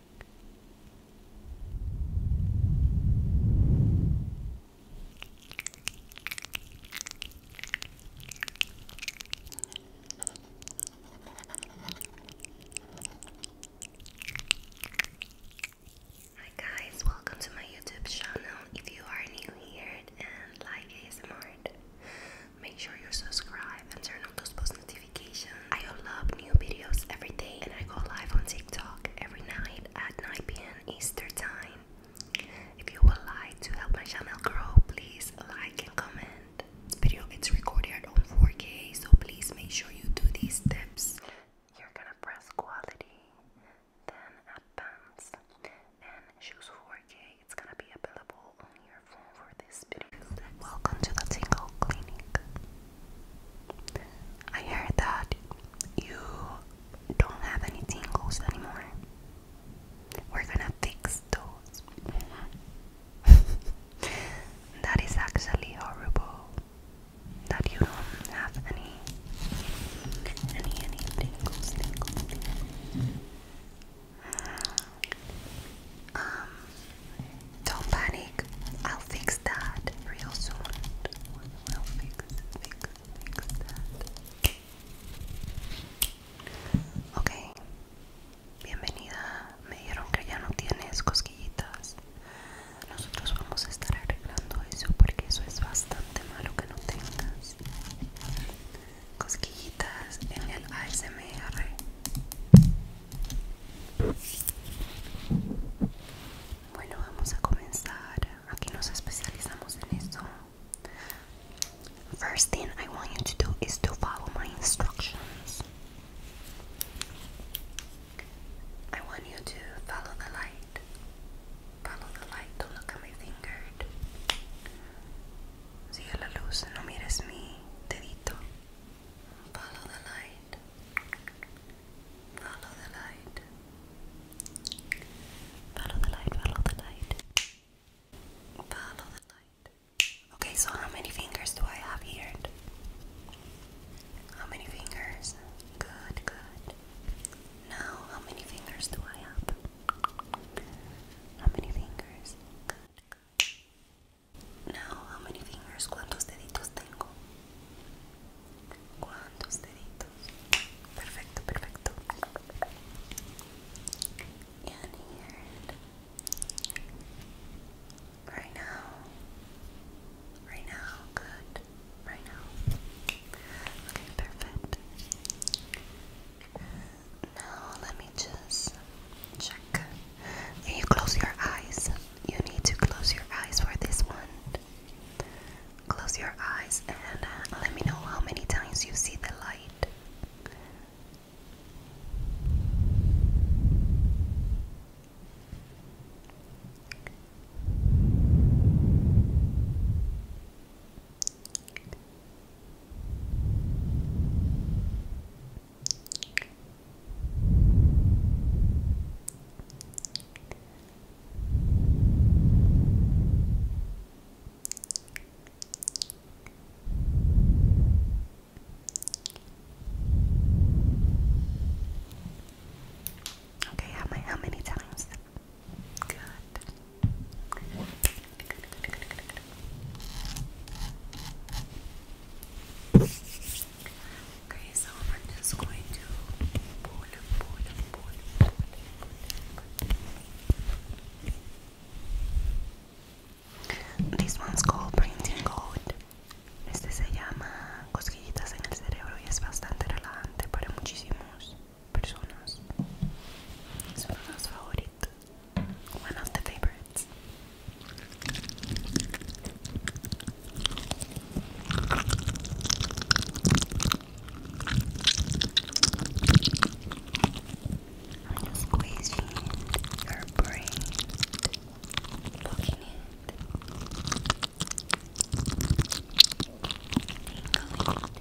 Hi guys, welcome to my YouTube channel. If you are new here and like ASMR, make sure you subscribe and turn on those post notifications I upload new videos every day and I go live on TikTok every night at 9 p.m. Eastern time. If you would like to help my channel grow, please like and comment. This video is recorded on 4K, so please make sure you do these steps. You're gonna press quality, then advance, and choose 4K. It's gonna be available on your phone for this video. Welcome to the Tingle Clinic. I heard that you don't have any tingles anymore. We're gonna fix those. that is actually horrible. That you don't have any, any, any tingles, tingles, tingles. Um, Don't panic. I'll fix that real soon. We'll fix, fix, fix that. Ok, bienvenida. Me dijeron que ya no tienes cosquillitas. Nosotros vamos a estar arreglando eso porque eso es bastante malo que no tengas cosquillitas en el ASMR. Bueno, vamos a comenzar. Aquí nos especializamos en esto. First thing I want you to do is to follow my instructions. I want you to follow the light. Follow the light. to look at my finger. Sigue la luz. No mires mi dedito. Follow the light. Follow the light. Follow the light, follow the light. Follow the light. Okay, so how many fingers do I have here? How many fingers? Good, good. Now, how many fingers do I have? How many fingers? Now, how many fingers? ¿Cuántos deditos tengo? Right now. Right now. Good. Right now. Okay, perfect. Now, let me just and you close your eyes. You need to close your eyes for this one. Close your eyes and uh, let me know how many times you see the light. Okay, how many, how many times? Good. Okay, so I'm just going to pull pull pull This one's called printing code. Este se llama cosquillitas en el cerebro y es bastante relajante para muchísimas personas. Es uno de los favoritos. One of the favorites. I'm just squeezing your brain, looking it. Tingling, tingling, tingling.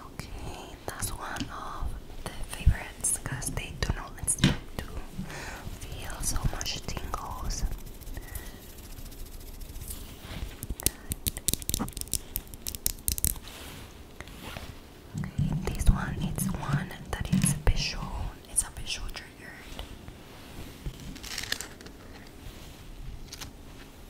Okay, that's one of the favorites because they do not expect to feel so much tingles. Okay, this one is one that is visual, it's a visual triggered.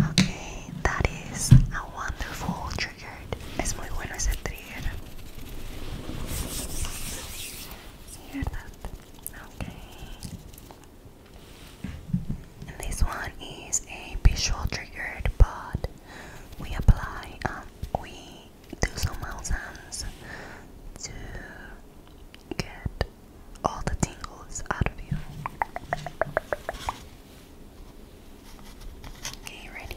Okay, that is a wonderful trigger. Es muy bueno ese trigger. Hear that? Okay. And this one is a visual triggered, but we apply, um, we do some mountains to get all the tingles out of you. Okay, ready?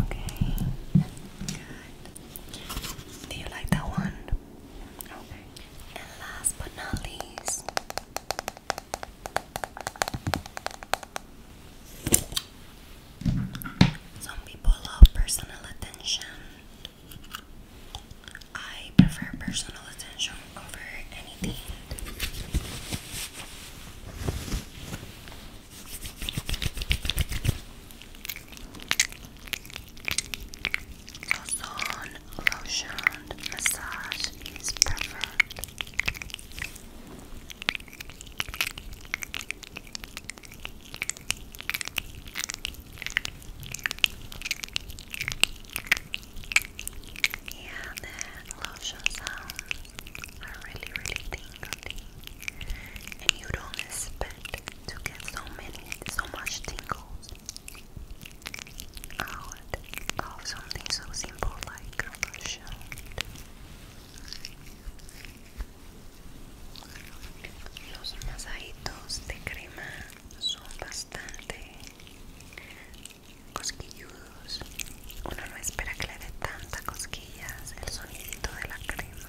Okay. Good. Do you like that one? And last but not least, some people love personal attention. I prefer personal attention over anything. Ozone lotion massage is perfect. Yeah, the lotion are really, really tingly, and you don't expect to get so many, so much tingles. out of something so simple like lotion. Los masajitos de crema son bastante cosquilludos. Uno no espera que le dé tantas cosquillas el sonidito de la crema.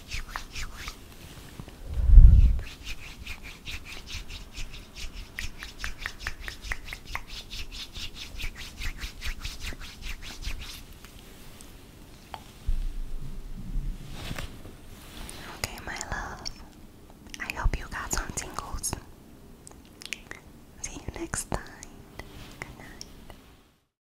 Okay, my love. I hope you got some tingles. See you next time. Good night.